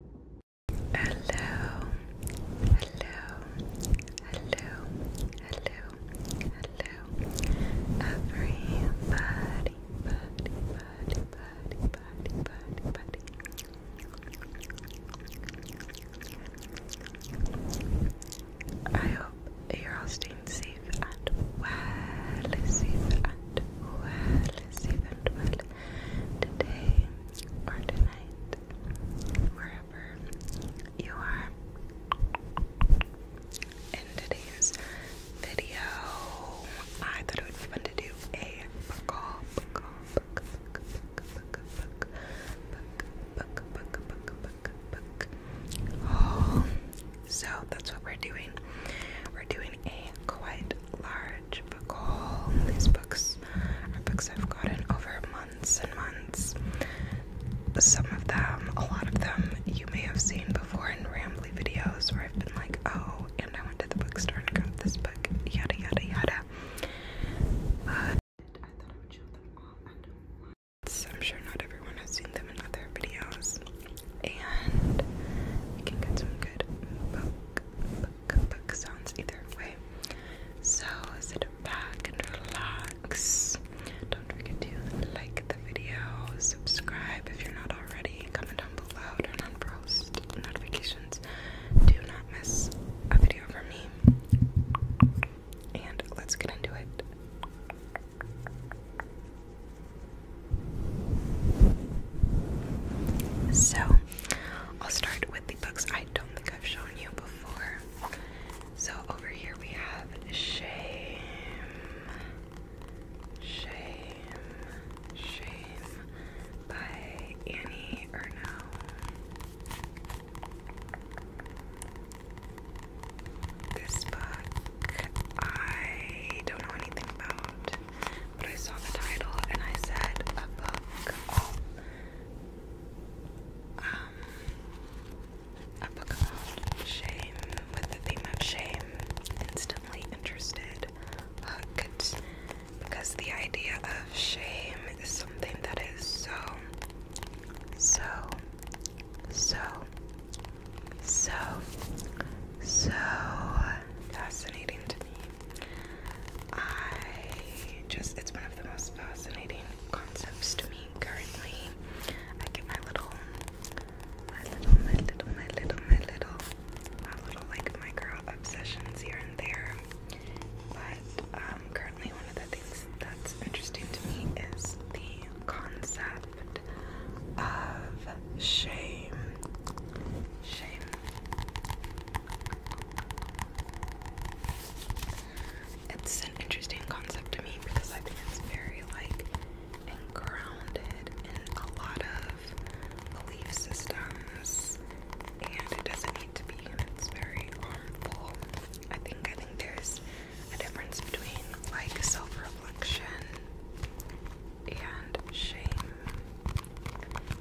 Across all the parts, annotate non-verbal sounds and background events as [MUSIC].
Hello, hello, hello, hello, hello, everybody, buddy, buddy, buddy, buddy, buddy, buddy. I hope you're all staying safe and well, safe and well, safe and well, today or tonight, wherever you are. In today's video, I thought it would be fun to do a book haul, book haul, book, book, book, book, book, book, book, book, book, book, book haul. So that's what we're doing. We're doing a quite large book haul. These books are books I've gotten over months and months. Some of them, a lot of them, you may have seen before in rambly videos where I've been like, oh, and I went to the bookstore and got this book, yada yada yada. I am sure not everyone has seen them in other videos. And you can get some good book, cookbook sounds either way. So sit back and relax. Don't forget to like the video, subscribe if you're not already, comment down below, turn on post notifications. Do not miss a video from me. And let's get into it. So, I'll start with the books I don't think I've shown you before. So over here we have Shame, Shame, Shame by Annie Ernaux. This book I don't know anything about, but I saw the title and I said a book. Um, a book about shame with the theme of shame. Instantly interested, hooked, because the idea of shame is something that is so, so, so, so, so fascinating to me. I just, it's one of the most fascinating concepts to me currently. I get my little, my little, my little, my little, my little, my little like micro obsessions here and there. But um, currently, one of the things that's interesting to me is the concept of shame. Shame. It's an interesting concept to me because I think it's very like and grounded in a lot of belief systems and it doesn't need to be and it's very harmful. I think I think there's a difference between like self-reflection and shame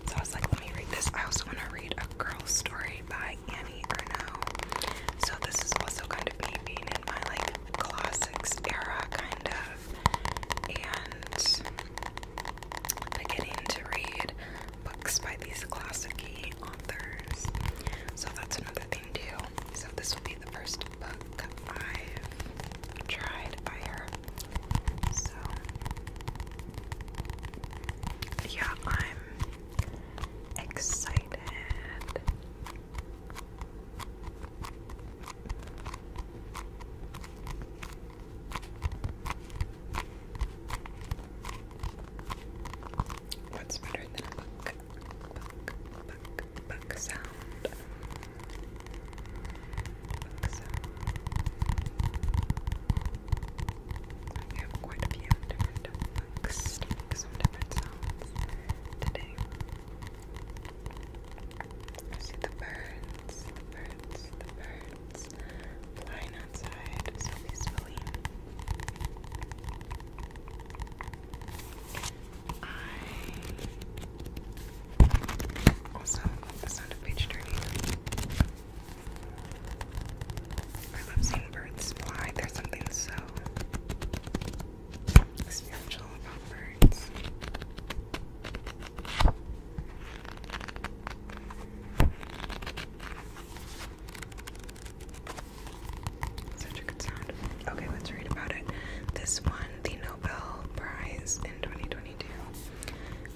so I was like, let me read this. I also want to read a girl story by Annie Ernaux. So this is also kind of me being in my like classics era kind of and beginning to read books by these classicy authors. So that's another thing too. So this will be the first book I've tried by her. So yeah, I'm excited. What's better than a buck, buck, buck, buck sound? Like have quite a few different books some different sounds today. I see the birds, the birds, the birds flying outside so peacefully. I also the sound of page turning. I love seeing birds fly. There's something so spiritual about birds. Such a good sound. Okay, let's read about it. This won the Nobel Prize in 2020.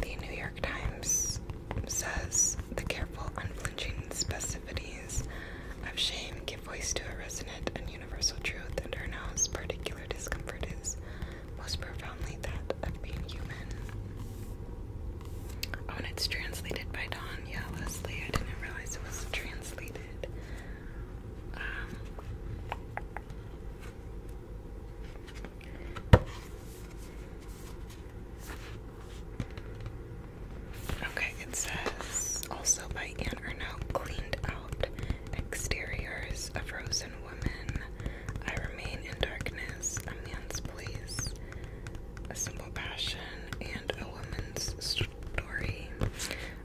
The New York Times says the careful, unflinching specificities of shame give voice to a resonant and universal truth, and Ernaux's particular discomfort is most profoundly that of being human. Oh, and it's translated by Don. Yeah, I didn't realize it was translated. Um, Okay, it says also by Anne Ernaux cleaned out exteriors, of a frozen woman. I remain in darkness, a man's place, a simple passion, and a woman's story.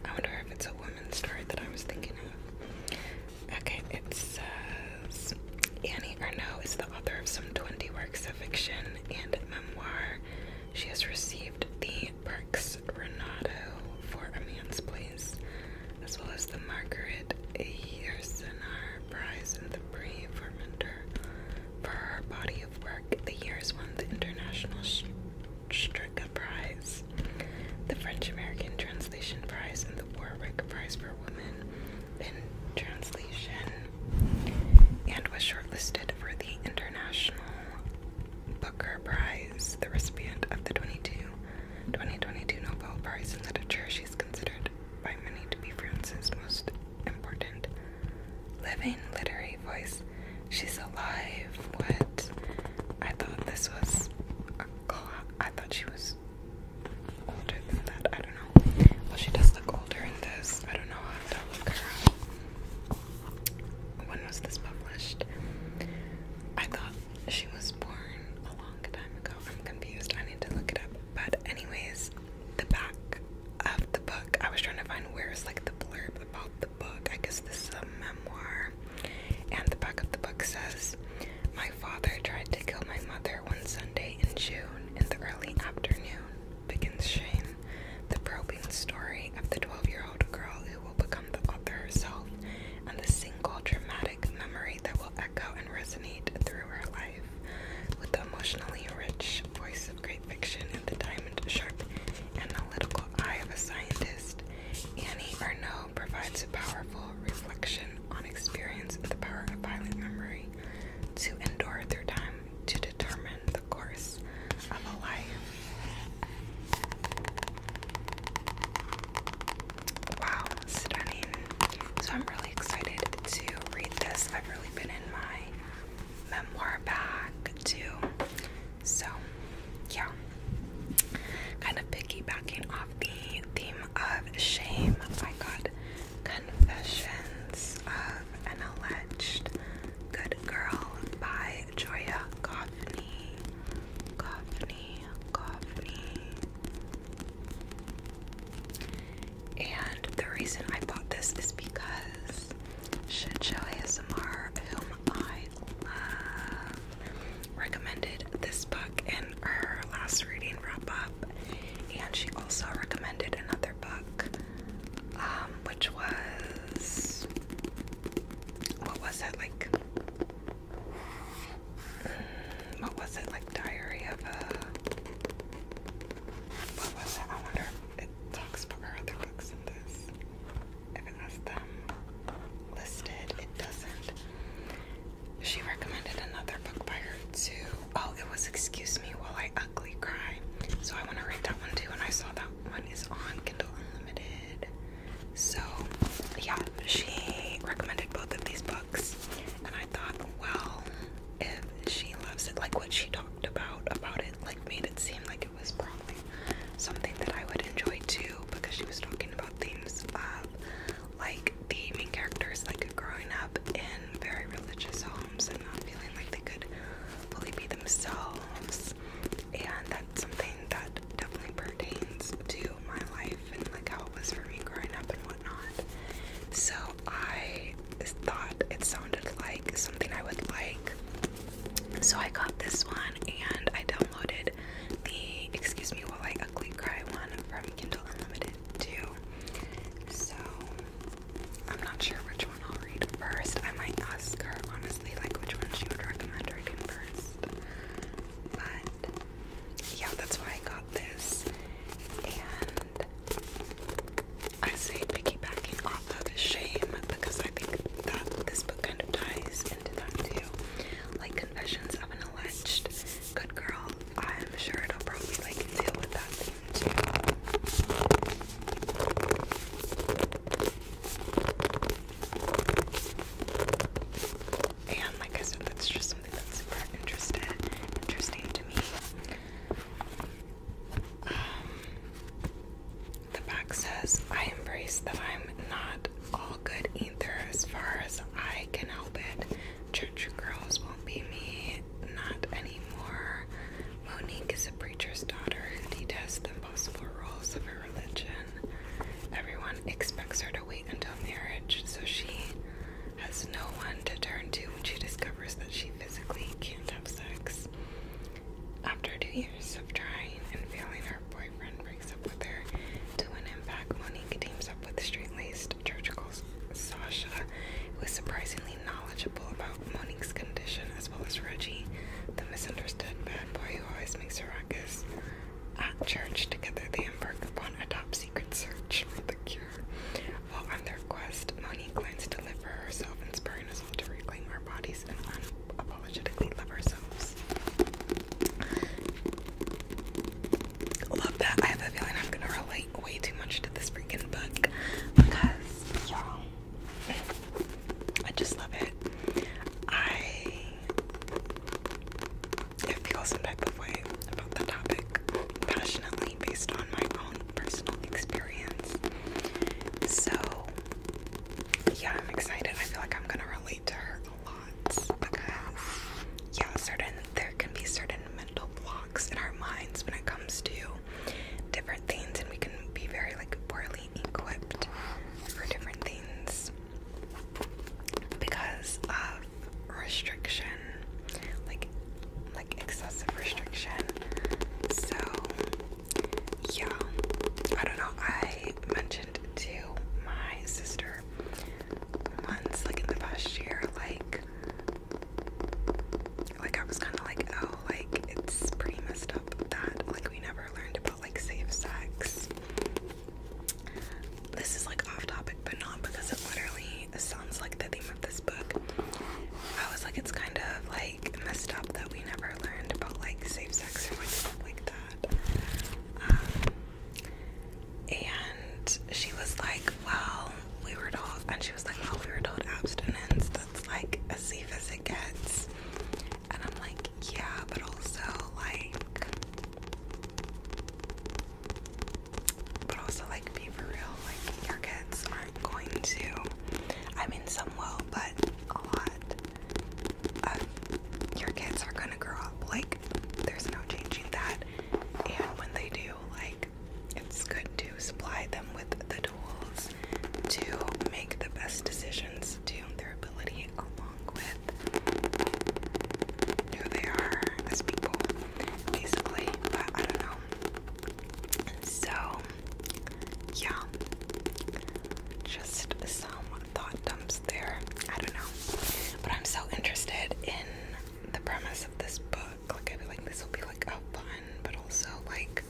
I wonder if it's a woman's story that I was thinking of. Okay, it says Annie Ernaux is the author of some 20 works of fiction and memoir. She has received the Perks Renato for A Man's Place, as well as the Margaret Yersenar Prize and the Prix for For her body of work, the year has won the International Stricka Prize, the French American Translation Prize, and the Warwick Prize for Women in Translation and was shortlisted for the International Booker Prize, the recipient of the 22, 2022 Nobel Prize in Literature. She's considered by many to be France's most important living literary voice. She's alive. What? I thought this was a call. I thought she was older than that. I don't know. Well, she does look older in this. I don't know. I have to When was this published? I thought she was born a long time ago. I'm confused. I need to look it up. But anyways, the back of the book. I was trying to find where's like the blurb about the book. I guess this is a memoir. And the back of the book says my father tried to kill my mother one Sunday in June in the early afternoon, begins Shane, the probing story of the 12 year old girl who will become the author herself and the single dramatic memory that will echo and resonate through her life. With the emotionally rich voice of great fiction and the diamond sharp analytical eye of a scientist, Annie Arnaud provides a powerful reflection on experience the power of violent memory to endure through time to determine the course of a life. Wow, stunning. So I'm really excited to read this. I've really been in my memoir bag too. So yeah. Kind of piggybacking off the theme of shame, I got Confessions of an Alleged Good Girl by Joya Goffney. Goffney, Goffney. And the reason I bought this is because should Shijo ASMR, whom I love, recommended this book in her last reading wrap up, and she also recommended another book, um, which was what was it like? Mm, what was it like? Diary of a what was it? I wonder. it talks about other books in this. If it has them listed, it doesn't. She recommended another book by her too. Oh, it was Excuse Me While I Ugly Cry. So I want to read that one too. And I saw that one is on Kindle Unlimited. So yeah, she recommended both of these books. And I thought, well, if she loves it, like what she talked about about it, like made it seem like it was probably something that I would enjoy too, because she was talking about themes of like the main characters like growing up in very religious homes and not feeling like they could fully be themselves and that's something that definitely pertains to my life and like how it was for me growing up and whatnot so I thought it sounded like something I would like so I got this one and I downloaded the Excuse Me While I Ugly Cry one from Kindle Unlimited too. So I'm not sure which one I'll read first. I might ask her honestly like which one she would recommend reading first. But yeah, that's why I got this. And I say piggybacking off of shame because I think that this book kind of ties into that too. Like Confessions of an Alleged Good Girl I'm sure it'll probably like deal with that thing too. And like I said, that's just something that's super interesting, interesting to me. Um, the back says, I embrace that I'm not good either as far as I can help it. Church Girls won't be me, not anymore. Monique is a preacher's daughter who detests the possible rules of her religion. Everyone expects her to wait until marriage, so she has no one to turn to when she discovers that she physically can't have sex. After two years of trying and failing, her boyfriend up with her. To an impact, Monique teams up with straight-laced churchical Sasha, who is surprisingly knowledgeable about Monique's condition, as well as Reggie, the misunderstood bad boy who always makes a ruckus. At church, together they embark upon a top-secret search for the cure. While on their quest, Monique learns to live for herself, inspiring us all to reclaim our bodies and unapologetically love ourselves. Love that. I have a feeling I'm gonna relate way too much to this freaking book because y'all I just love it. I feel some type of way about the topic passionately based on my own personal experience. So yeah, I'm excited. I feel like I'm gonna relate to her lots because yeah, certain there can be certain mental blocks in our minds when it comes to different things and we can be very like poorly equipped for different things because of restriction like like excessive restriction so yeah i don't know i mentioned to my sister months, like in the past year, like like I was kind of like, oh, like it's pretty messed up that like we never learned about like safe sex. This is like off topic, but not because it literally sounds like the theme of this book. I was like, it's kind of like messed up that we never learned about like safe sex or like stuff like that. Um, and she was like, Well, we were told, and she was like, Well, we were told abstinence, that's like as safe as it gets. And I'm like, Yeah, but also, like, but also, like, be for real, like, your kids aren't going to, I mean, some will, but a lot your kids are gonna grow up, like, there's no changing that. And when they do, like, it's good to supply them with the tools to make the best decisions to their ability, along with who they are as people, basically. But I don't know. So, yeah, just some thought dumps there. I don't know. But I'm so interested in the premise of this book. Like I feel like this will be like a fun, but also like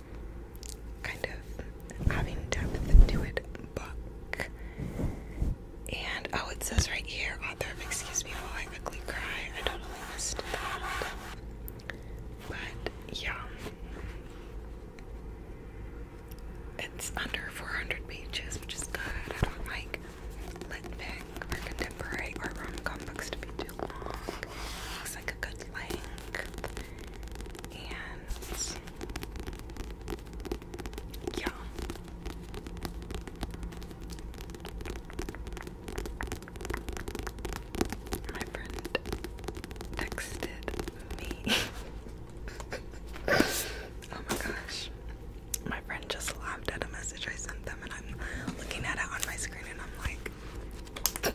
kind of having depth to it book. And oh, it says right here, author Excuse Me While I quickly Cry. I totally missed that. But yeah. It's under 400 pages, which is good. I don't like lit or contemporary or rom-com books to be too long. Looks like a good length. And yeah. My friend texted me. [LAUGHS] oh my gosh. My friend just laughed at a message I sent them, and I'm looking at it on my screen, and I'm like,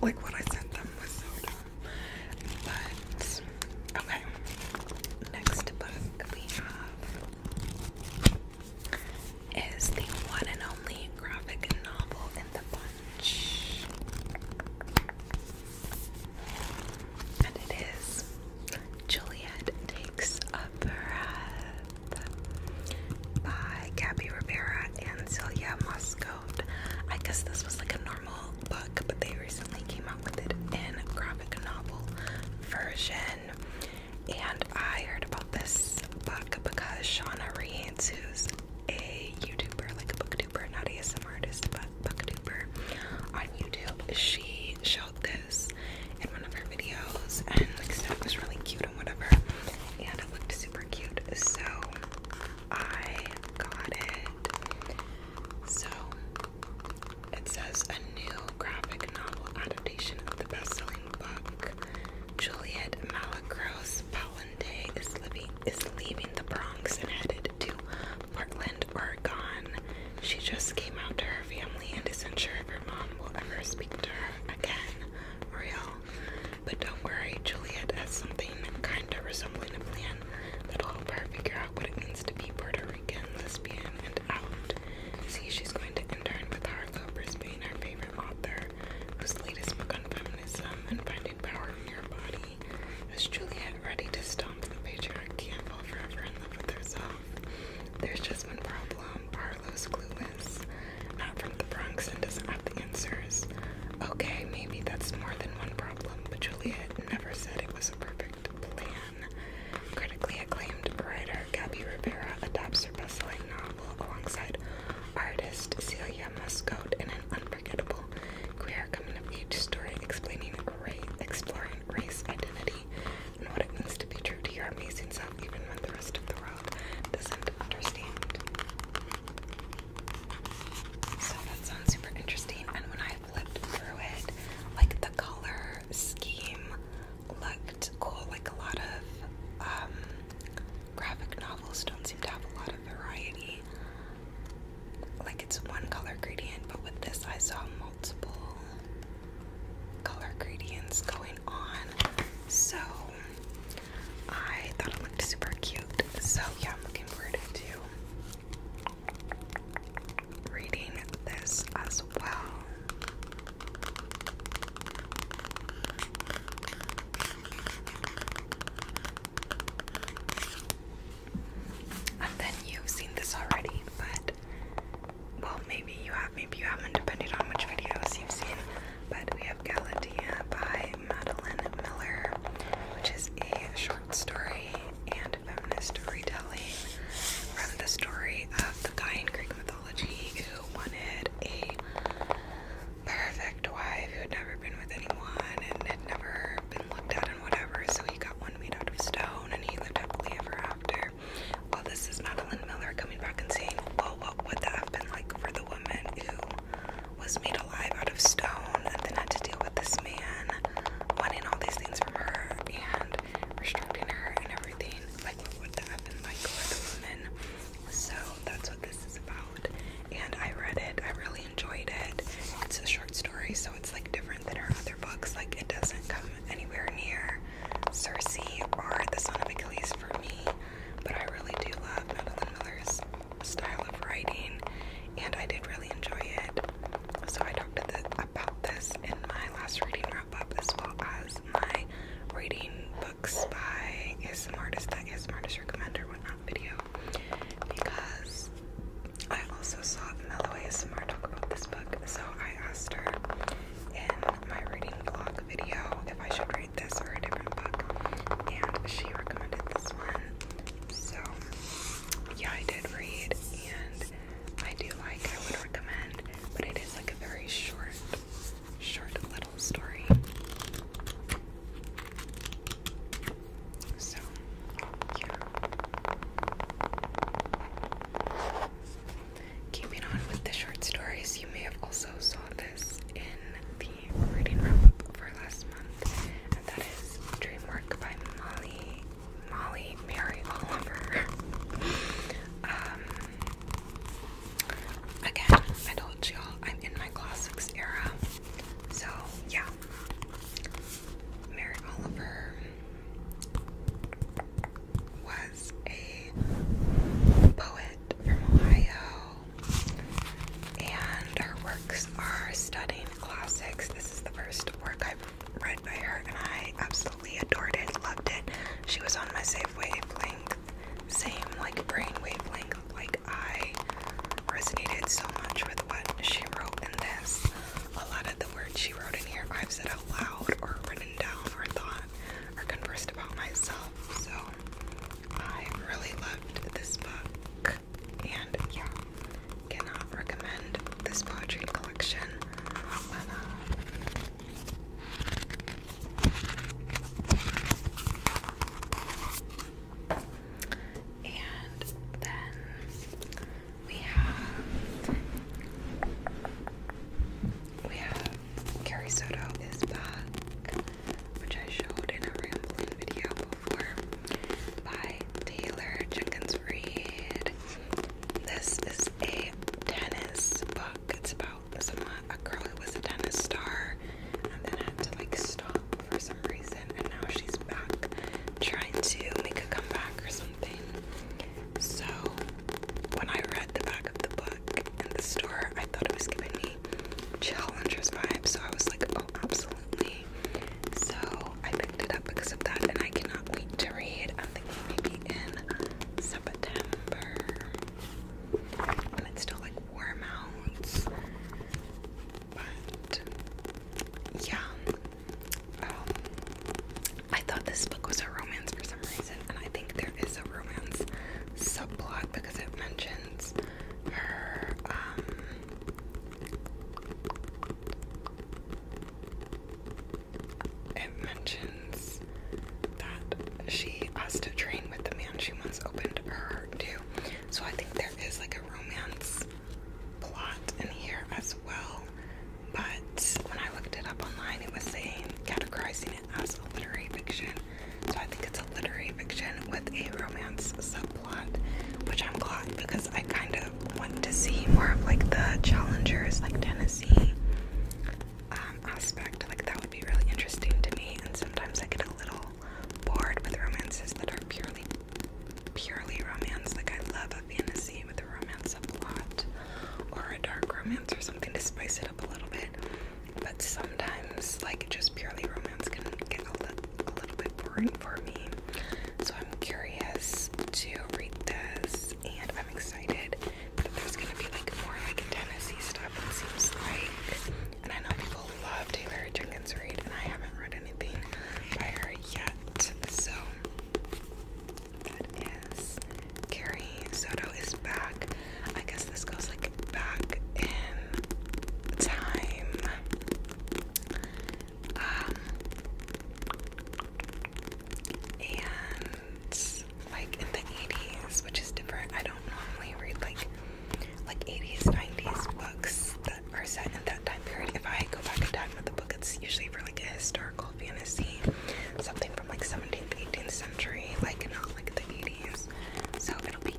like what I sent them was so dumb. But okay, next book we have is the one and only graphic novel in the bunch. And it is Juliet Takes a Breath by Gabby Rivera and Celia Muscode. I guess this was like a normal book, but they recently came out with it in graphic novel version. And I heard about this book because Shauna Reeds, who's a YouTuber, like a booktuber, not a ASM artist, but booktuber on YouTube, she showed this in one of her videos and like stuff was really cute and whatever and it looked super cute so I got it. So it says a new graphic novel adaptation of the best-selling book Juliet Malacros Palante is living is leaving the Bronx and headed to Portland Portland, Oregon. She just came out to her family and isn't sure if her mom will ever speak to her again. Real. But don't worry, Juliet has something kinda resembling a plan that'll help her figure out what it means to be Puerto Rican, lesbian, and out. See, she's going to intern with Harlow Brisbane, her favorite author, whose latest book on feminism and finding power in your body. Is Juliet ready to stomp the patriarchy and fall forever in love with herself? There's just one problem. Arlo's is Not from the Bronx and doesn't have the answers. Okay, maybe that's more than one problem, but Juliet never said it was a perfect plan. Critically acclaimed writer Gabby Rivera adapts her best-selling novel alongside artist Celia Muscote in an unforgettable queer coming-of-age story explaining race, exploring race identity and what it means to be true to your amazing self, even when the rest of the world doesn't understand. So that sounds super interesting. And when I flipped through it, like the color scheme looked cool. Like a lot of um, graphic novels don't seem to have a lot of variety. Like it's one color gradient, but with this, I saw multiple color gradients going on. So I thought it looked super cute. So yeah, I'm looking forward to reading this as well. And then you've seen this already, but well maybe you have, maybe you haven't, depending on how much videos you've seen. But we have Galatea by Madeline Miller, which is a short story and feminist storytelling from the story of the guy in Greek mythology who wanted a perfect wife who had never been with anyone and had never been looked at and whatever. So he got one made out of stone and he lived happily ever after. Well, this is Madeline Miller coming back and saying, well, what would that have been like for the woman who was made alive out of stone and then had to deal with this man wanting all these things from her and restricting her and everything? Like, what would that have been like for the woman? So, that's what this is about. And I read it, I really enjoyed it. It's a short story, so it's like different different than her other books. Like it doesn't come anywhere near Circe or The Son of Achilles for me, but I really do love Madeline Miller's style of writing, and I did really enjoy it. So I talked the, about this in my last reading wrap up, as well as my reading books by ASM artist that ASM artist recommender whatnot video, because I also saw Love Mellow talk about this book. So I asked her in my reading vlog video if I should read this or a different book, and she recommended this one. So yeah, I did read, and I do like. I would recommend, but it is like a very short, short little story. So, yeah. Keeping on with the short stories, you may have also saw this in the reading wrap-up for last month, that is Dreamwork by Molly Molly Mary Oliver. [LAUGHS] Um, again, I told y'all I'm in my classics era, so yeah. Mary Oliver was a poet from Ohio, and her works are studying classics. This is the first work I've read by her, and I absolutely adored it, loved it. She was on my same wavelength, same like brain wavelength. Like I resonated so much with what she wrote in this a lot of the words she wrote in here I've said out loud or written down or thought or conversed about myself. So I really loved this book and yeah, cannot recommend this poetry collection uh, and then we have we have Carrie Soto is back, which I showed in a rambling video before by Taylor Jenkins Reid. This is a tennis book. It's about someone a girl who was a tennis star and then had to like stop for some reason and now she's back trying to make a comeback or something. So when I read the back of the book in the store, I thought it was giving me Challengers vibe. So I was like, oh, absolutely. So I picked it up because of that, and I cannot wait to read. I'm thinking maybe in September when it's still like warm out. But yeah, um, I thought this book was a romance for some reason, and I think there is a romance subplot because it mentions her. Um, it mentions that she has to train with the man she wants to open her heart to. So I think there is like a romance plot in here as well. But when I looked it up online, it was saying categorizing it as a literary fiction. So I think it's a literary fiction with a romance subplot, which I'm glad because I kind of want to see more of like the challengers, like Tennessee um, aspect. Like that would be really interesting to me. And sometimes I get a little bored with romances that are purely, purely romance. Like I love a fantasy maybe with a romance subplot or a dark romance or something to spice it up a little bit. But sometimes, like just purely romance, can get a, li a little bit boring for me. So I'm curious to read this, and I'm excited that there's gonna be like more like Tennessee stuff. It seems like, and I know people love Taylor Jenkins Reid, and I haven't read anything by her yet. So that is Carrie Soto is back. I guess this goes like back in time. Um and like in the 80s, which is different. I don't normally read like like 80s, 90s books that are set in that time period. If I go back in time with the book, it's usually for like a historical fantasy, something from like 17th, 18th century, like not like the 80s. So it'll be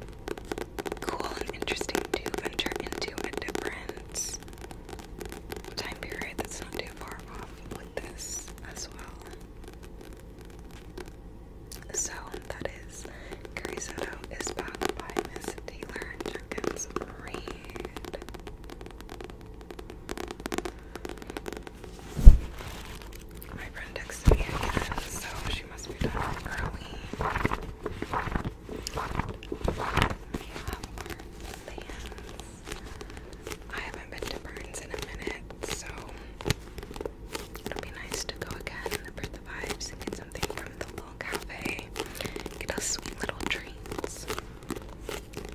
cool and interesting to venture into a different time period that's not too far off with this as well. So that is Carrizotto is back by Miss Taylor and Jenkins Reid. My friend so she must be done early. I haven't been to Burns in a minute, so it'll be nice to go again for the vibes get something from the little cafe. Get us sweet little treats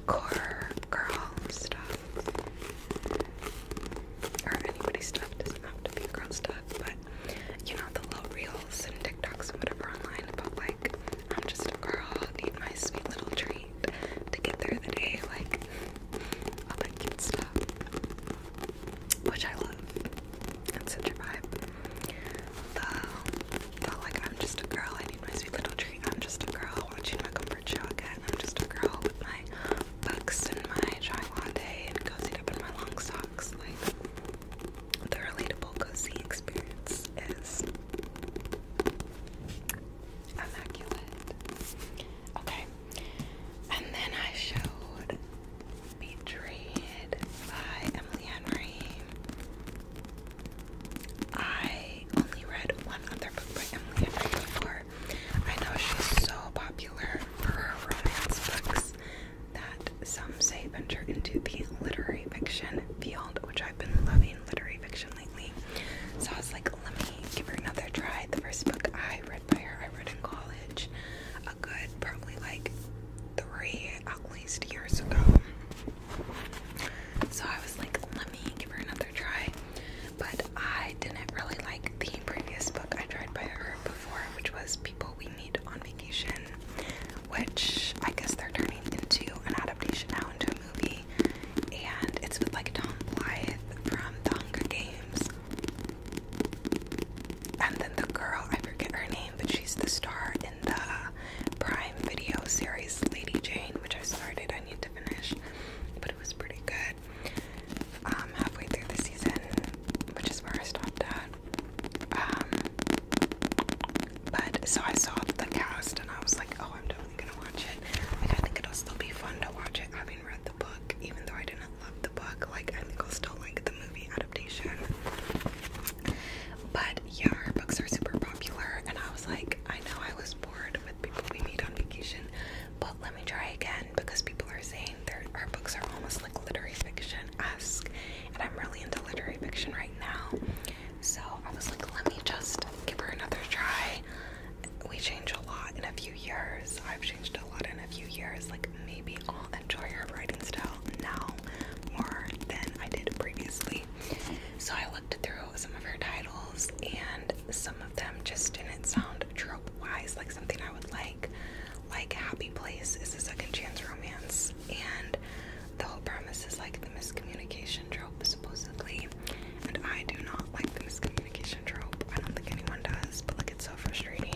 core girl stuff. Or anybody's stuff doesn't have to be girl stuff, but you know, the little reels and TikToks and whatever online about like, I'm just a girl, need my sweet little treat to get through the day, like, all that cute stuff. Which I love. It's such a vibe. The felt like I'm just a girl. I need my sweet little treat. I'm just a girl watching my comfort show again. I'm just a girl with my books and my chai latte and cozied up in my long socks. Like the relatable cozy experience is immaculate. Okay, and then I showed. Betrayed by Emily Henry. I only read one other book by Emily I know she's so popular for her romance books that some say venture into the literary fiction field, which I've been loving literary fiction lately. So I was like, let me give her another try. The first book I read by her, I read in college, a good probably like three at least years ago. So I was like, let me give her another try. But I didn't really like the previous book I tried by her before, which was People We Meet on Vacation, which I guess they're turning into an adaptation now into a movie. And it's with like Tom Blyth from The Hunger Games. And then the girl, I forget her name, but she's the star the Prime Video series Lady Jane, which I started, I need to finish, but it was pretty good. Um, halfway through the season, which is where I stopped at. Um, but so I saw the cast and I was like, oh, I'm definitely gonna watch it. Like, I think it'll still be fun to watch it having read the book, even though I didn't love the book. Like, I think I'll still like the movie adaptation. But yeah, her books are super popular, and I was like, I know I was bored with people we meet on vacation, but let me try again because people are saying our books are almost like literary fiction-esque, and I'm really into literary fiction right now. So I was like, let me just give her another try. We change a lot in a few years. I've changed a lot in a few years. Like maybe I'll enjoy her writing style now more than I did previously. So I looked through some of her titles, and some of them just didn't sound trope wise like something I would like. Like Happy Place is a second chance romance, and the whole premise is like the miscommunication trope, supposedly. And I do not like the miscommunication trope. I don't think anyone does, but like it's so frustrating.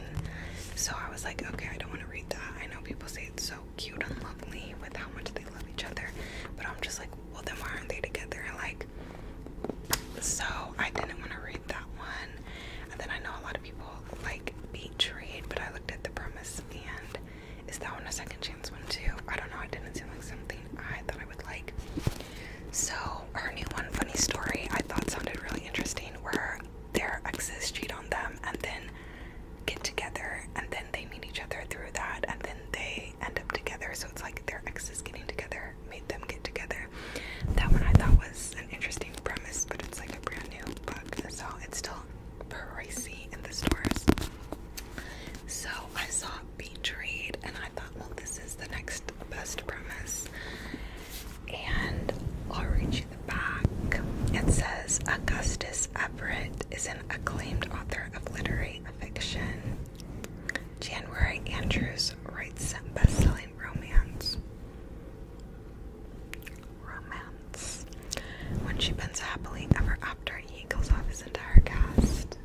So I was like, okay, I don't want to read that. I know people say it's so cute and lovely with how much they love each other. But I'm just like, well, then why aren't they together? Like, so I didn't want to read that one. And then I know a lot of people like beach read, but I looked at the premise and is that one a second chance one too? I don't know. It didn't seem like something I thought I would like. So her new one, funny story, I thought sounded really interesting. Where their exes cheat on them and then get together and then they meet each other through that and then they end up together. So it's like their exes getting together made them get together. That one I thought was an interesting premise, but it's like a brand new book. So it's still pricey in the stores. So I saw Beach Read and I thought, well, this is the next best premise. And I'll read you the back. It says Augustus Everett is an acclaimed author of literary fiction. January Andrews writes best romance. Romance. When she bends happily ever after, he kills off his entire cast.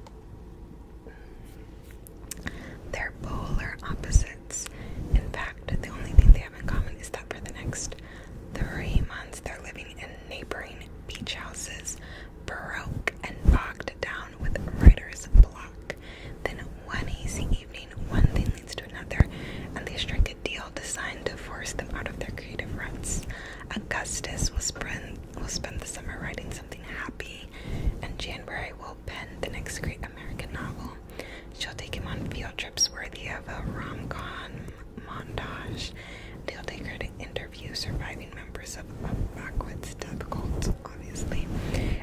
They're polar opposites. In fact, the only thing they have in common is that for the next three months, they're living in neighboring beach houses broke and bogged down with writer's block. Then one easy evening, one thing leads to another, and they strike a deal designed to force them out of their creative ruts. Augustus will spend, will spend the summer writing something happy, and January will pen the next great American novel. She'll take him on field trips worthy of a rom-com montage. Deal Taker to interview surviving members of Backwood's death cult, obviously.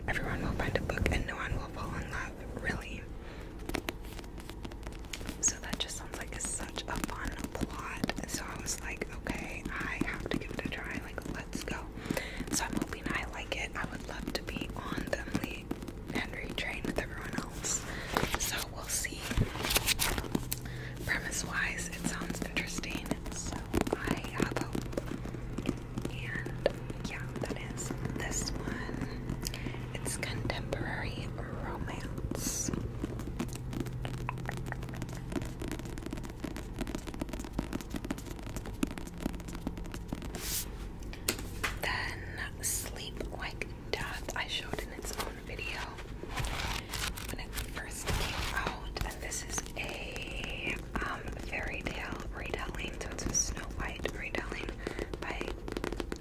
Everyone will find a book and no one will fall in love, really. So that just sounds like such a fun plot. So I was like, okay, I have to give it a try. Like, let's go. So I'm hoping I like it. I would love to be on the Henry train with everyone else. So we'll see. Premise wise, it sounds interesting, so I have hope. And yeah, that is this one. It's contemporary romance. Then Sleep Like Death, I showed in its own video when it first came out, and this is a um, fairy tale retelling. So it's a Snow White retelling by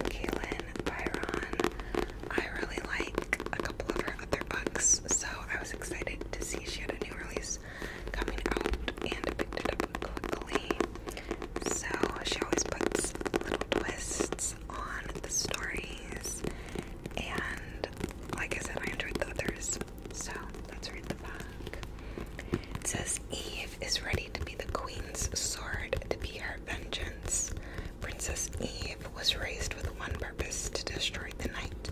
Kaylin Byron. I really like a couple of her other books, so I was excited to see she had a new release coming out and picked it up quickly. So she always puts little twists on the stories, and like I said, I enjoyed the others. So let's read the back. says Eve is ready to be the queen's sword, to be her vengeance. Princess Eve was raised with one purpose to destroy the knight,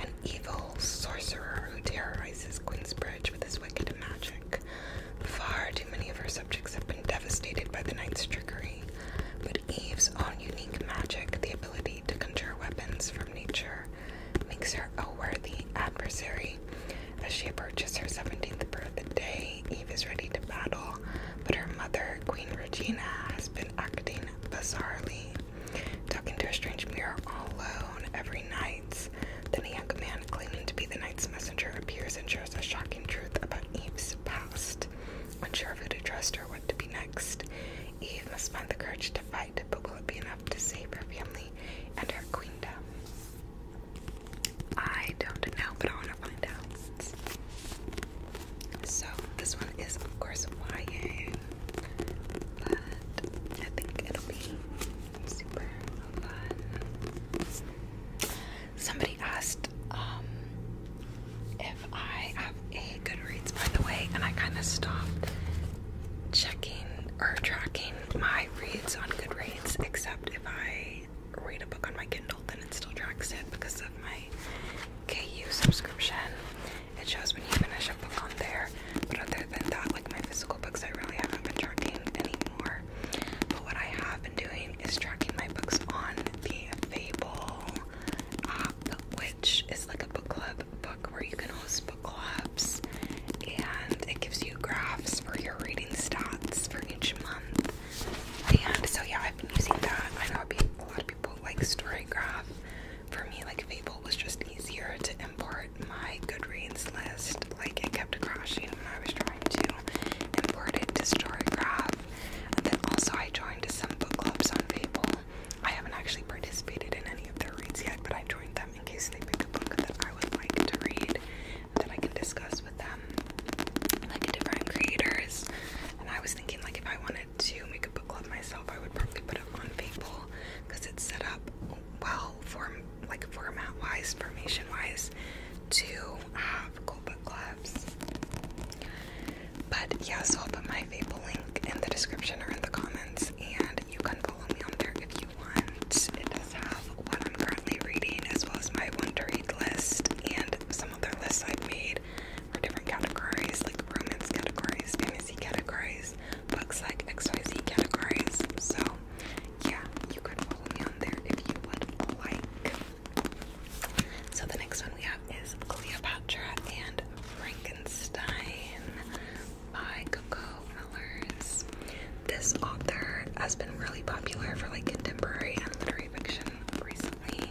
an evil sorcerer who terrorizes Queen's Bridge with his wicked magic. Far too many of her subjects have been devastated by the knight's trickery. But Eve's own unique magic, the ability to conjure weapons from nature, makes her a worthy adversary. As she approaches her 17th birthday, Eve is ready to battle, but her mother, Queen Regina, has been acting bizarrely. Talking to a strange mirror all alone every night, then a young man claiming to be the knight's messenger appears and shares a shocking truth about Eve's past unsure of who to trust or what to be next. Eve must find the courage to fight, but will it be enough to save her family and her queendom? I don't know, but I want to find out. So, this one is, of course, YA, but I think it'll be super fun. Somebody asked um, if I have a Goodreads, by the way, and I kind of stopped checking or tracking my reads on Goodreads, except if I read a book on my Kindle, then it still tracks it because of my KU subscription. It shows when you finish a book on there, but other than that, like my physical books, I really haven't been tracking anymore. But what I have been doing is tracking my books on the Fable uh, which is like a book club book where you can host book clubs and it gives you graphs for your reading stats for each month. And so, yeah, I've been using that. I know a lot of people like StoryGraph. For me, like Fable was just easier to import my Goodreads list. Like, it kept crashing when I was trying to import it to StoryGraph stuff. And then also I joined some book clubs on Fable. I haven't actually participated in any of their reads yet, but I joined them in case they pick a book that I would like to read that I can discuss with them, like different creators. And I was thinking, like, if I wanted to make a book club myself, I would probably put it on Fable because it's set up well, form like format-wise, formation-wise, to uh, graphical book collabs. But yeah, so I'll put my Fable link in the description or in the comments, and you can follow me on there if you want. It does have what I'm currently reading, as well as my one to read list, and some other lists I've made for different categories, like romance categories, fantasy categories, books like XYZ categories. So yeah, you can follow me on there if you would like. So the next one we have is Cleopatra and Frankenstein by Coco Millers. This author has been really popular for like contemporary and literary fiction recently.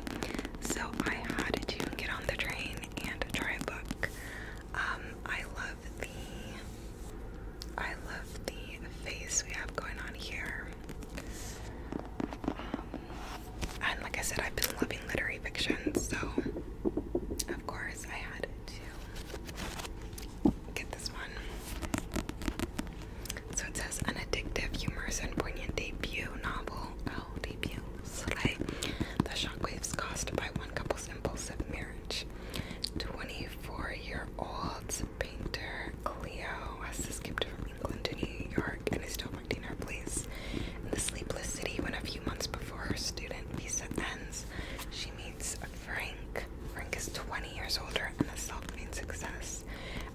So I had to get on the train and try a book. Um, I love the I love the face we have going on here. Um, and like I said, I've been loving literary fiction, so of course I had to get this one. So it says an addictive, humorous, and poignant debut novel. Oh, debut. Slay. The shockwaves caused by one couple's impulsive marriage. 24 year old painter Cleo has escaped from England to New York and is still in her place, In the sleepless city, when a few months before her student visa ends, she meets Frank. Frank is 20 years older and a self-made success,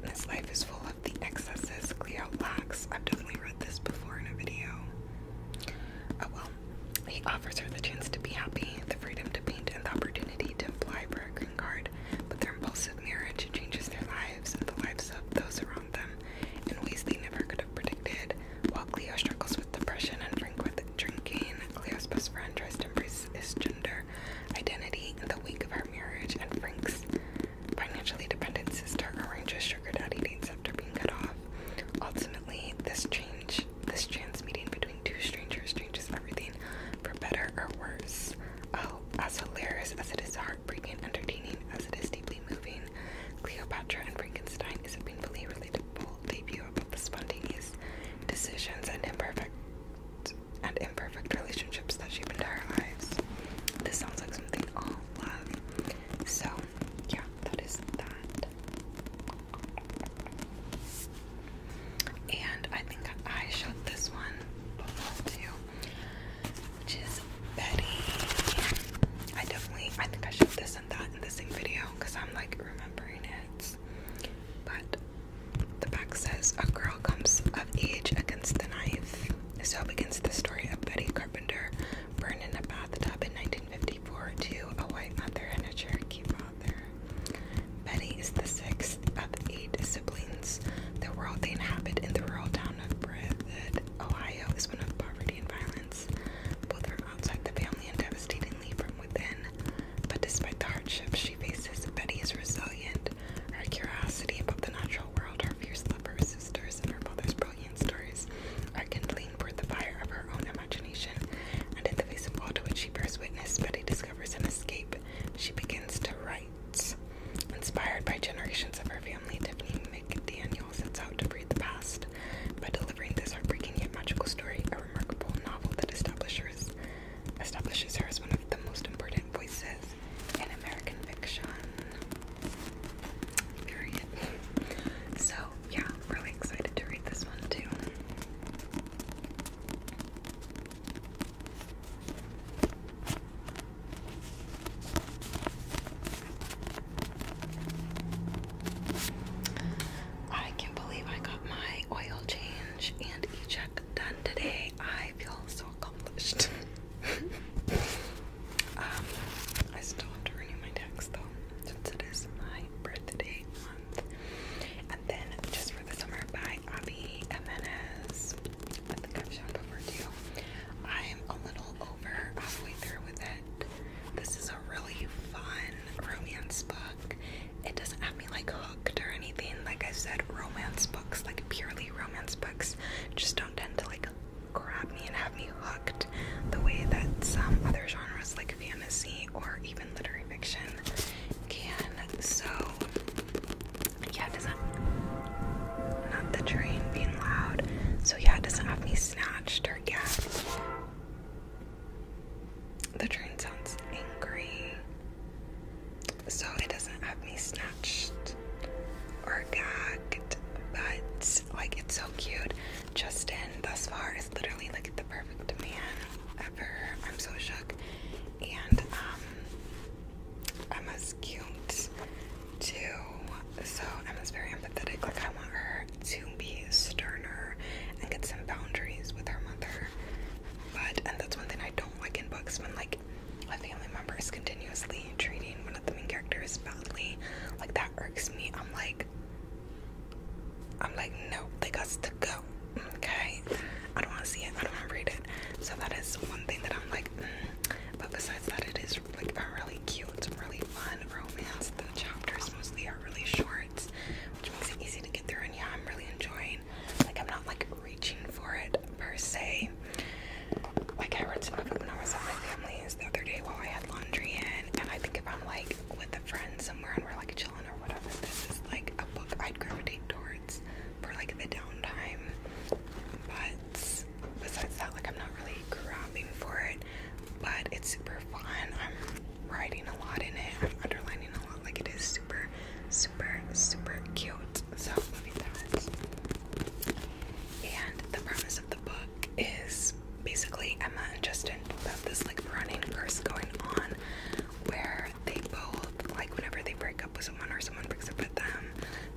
and his life is full of the excesses Cleo lacks. I've definitely read this before in a video. Oh well. He offers her the chance to be happy, the freedom to paint, and the opportunity to fly back green but their impulsive marriage changes their lives and the lives of those around them in ways they never could have predicted. While Cleo struggles with depression and Frank with drinking, Cleo's best friend tries to embrace his gender identity in the wake of her marriage, and Frank's financially dependent sister arranges sugar daddy dates after being cut off. Ultimately, this change, this chance meeting between two strangers changes everything for better or worse. Oh, as hilarious as it is hard heartbreaking entertaining as it is deeply moving. Cleopatra and Frankenstein is a painfully relatable debut about the spontaneous decisions and imperfect and imperfect relationships that shape entire lives. This sounds like something all love. So, yeah, that is that. And I think I showed this one before too which is Betty. I definitely, I think I showed this and that in the same video because I'm like remembering it. But the back says a girl comes of age against the knife. So begins the story of Betty Carpenter, burned in a bathtub in 1954 to a white mother and a Cherokee father. Betty is the sixth of eight siblings. The world they inhabit in the rural town town of Breathed, Ohio is one of poverty and violence, both from outside the family and devastatingly from within. But despite the hardships she faces, Betty is resilient. Her curiosity about the natural world, her fierce love for her sisters, and her father's brilliant stories are kindling for the fire of her own imagination. And in the face of all to which she bears witness, Betty discovers an escape. She begins to write. Inspired by generations of her family, Tiffany McDaniel sets out to breathe the past by delivering this heartbreaking yet magical story, a remarkable novel that establishes, establishes her as one of the most important voices in American fiction. Period. So, yeah, really excited to read this one too. I can't believe I got my oil change and e check done today. I feel so accomplished. [LAUGHS] um, I still have to renew my tax though, since it is my birthday month. And then just for the summer by Abby Jimenez. I am a little over halfway through with it. This is a really fun romance book. It doesn't have me like hooked or anything. Like I said, romance books, like purely romance books, just don't tend to like grab me and have me hooked the way that some other genres like fantasy or even literary fiction can. So yeah, it doesn't. Not the train being loud. So, yeah, it doesn't have me snatched or gagged. The train sounds angry. So, it doesn't have me snatched or gagged. But, like, it's so cute. Justin, thus far, is literally like the perfect man ever. I'm so shook. And, um, Emma's cute too, so Emma's very empathetic. Like, I want her to be sterner and get some boundaries with her mother. But, and that's one thing I don't like in books when, like, a family member is continuously treating one of the main characters badly. Like, that irks me. I'm like, I'm like, no, they got to go. Okay? I don't want to see it. I don't want to read it. So, that is one thing that I'm like, but besides that, it is like a really cute, really fun romance. The chapters mostly are really short, which makes it easy to get through. And yeah, I'm really enjoying. Like, I'm not like reaching for it per se. Like, I read some of it when I was at my family's the other day while I had laundry in, and I think if I'm like with a friend somewhere and we're like chilling or whatever, this is like a book I'd gravitate towards for like the downtime. But besides that, like I'm not really grabbing for it. But it's super fun. I'm writing a lot in it. I'm underlining a lot. Like it is super, super, super cute. So let me that. And the premise of the book is basically Emma and Justin both have this like running curse going on where they both like whenever they break up with or someone breaks up with them,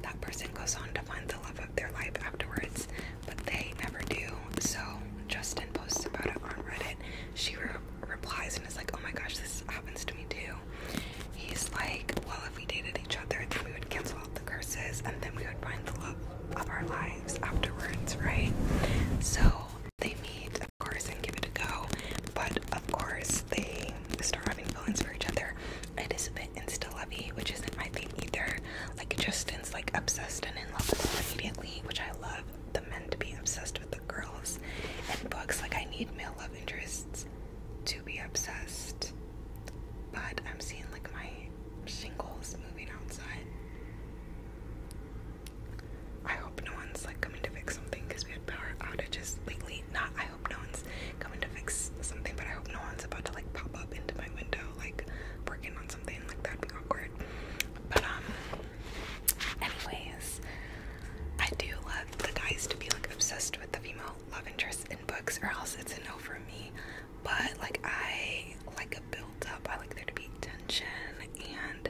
that person goes on to find the love of their life afterwards, but they never do. So Justin posts about it on Reddit. She replies and is like, "Oh my gosh, this happens to me too." He's like, "Well, if we dated each other, then we would cancel out the curses, and then we would find the love of our lives afterwards, right?" So they meet, of course, and give it a go, but of course they start having feelings for each other. It is a bit insta-lovey, which isn't my thing either. Like Justin's like obsessed and in love with them immediately, which I love the men to be obsessed with the girls. And books, like I need male love interests to be obsessed. But I'm seeing like my shingles moving outside. I hope no one's like coming to fix something because we had power outages lately. Not hope no one's coming to fix something, but I hope no one's about to like pop up into my window, like working on something. Like that'd be awkward. But um, anyways, I do love the guys to be like obsessed with the female love interest in books, or else it's a no for me. But like I like a build up. I like there to be tension and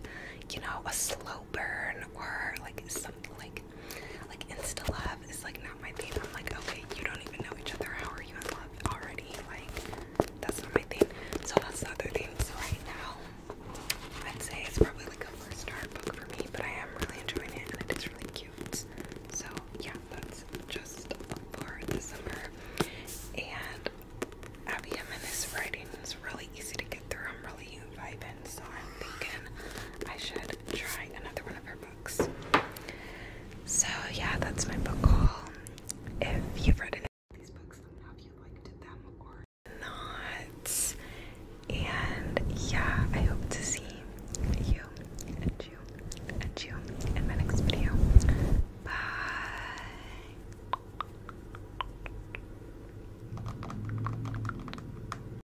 you know a slow burn or like something like like like love is like not my thing. I'm like, okay, you don't even know each other. How are you in love already? Like that's not my thing. So that's the thing. So right now I'd say it's probably like a first star book for me, but I am really enjoying it and it is really cute. So yeah, that's just a for the summer. And Abby Jimenez writing is really easy to get through. I'm really vibing so I'm thinking I should try another one of her books. So, yeah, that's my book haul. If you've read any of these books, have you liked them or not. And yeah, I hope to see you and you and you in my next video. Bye.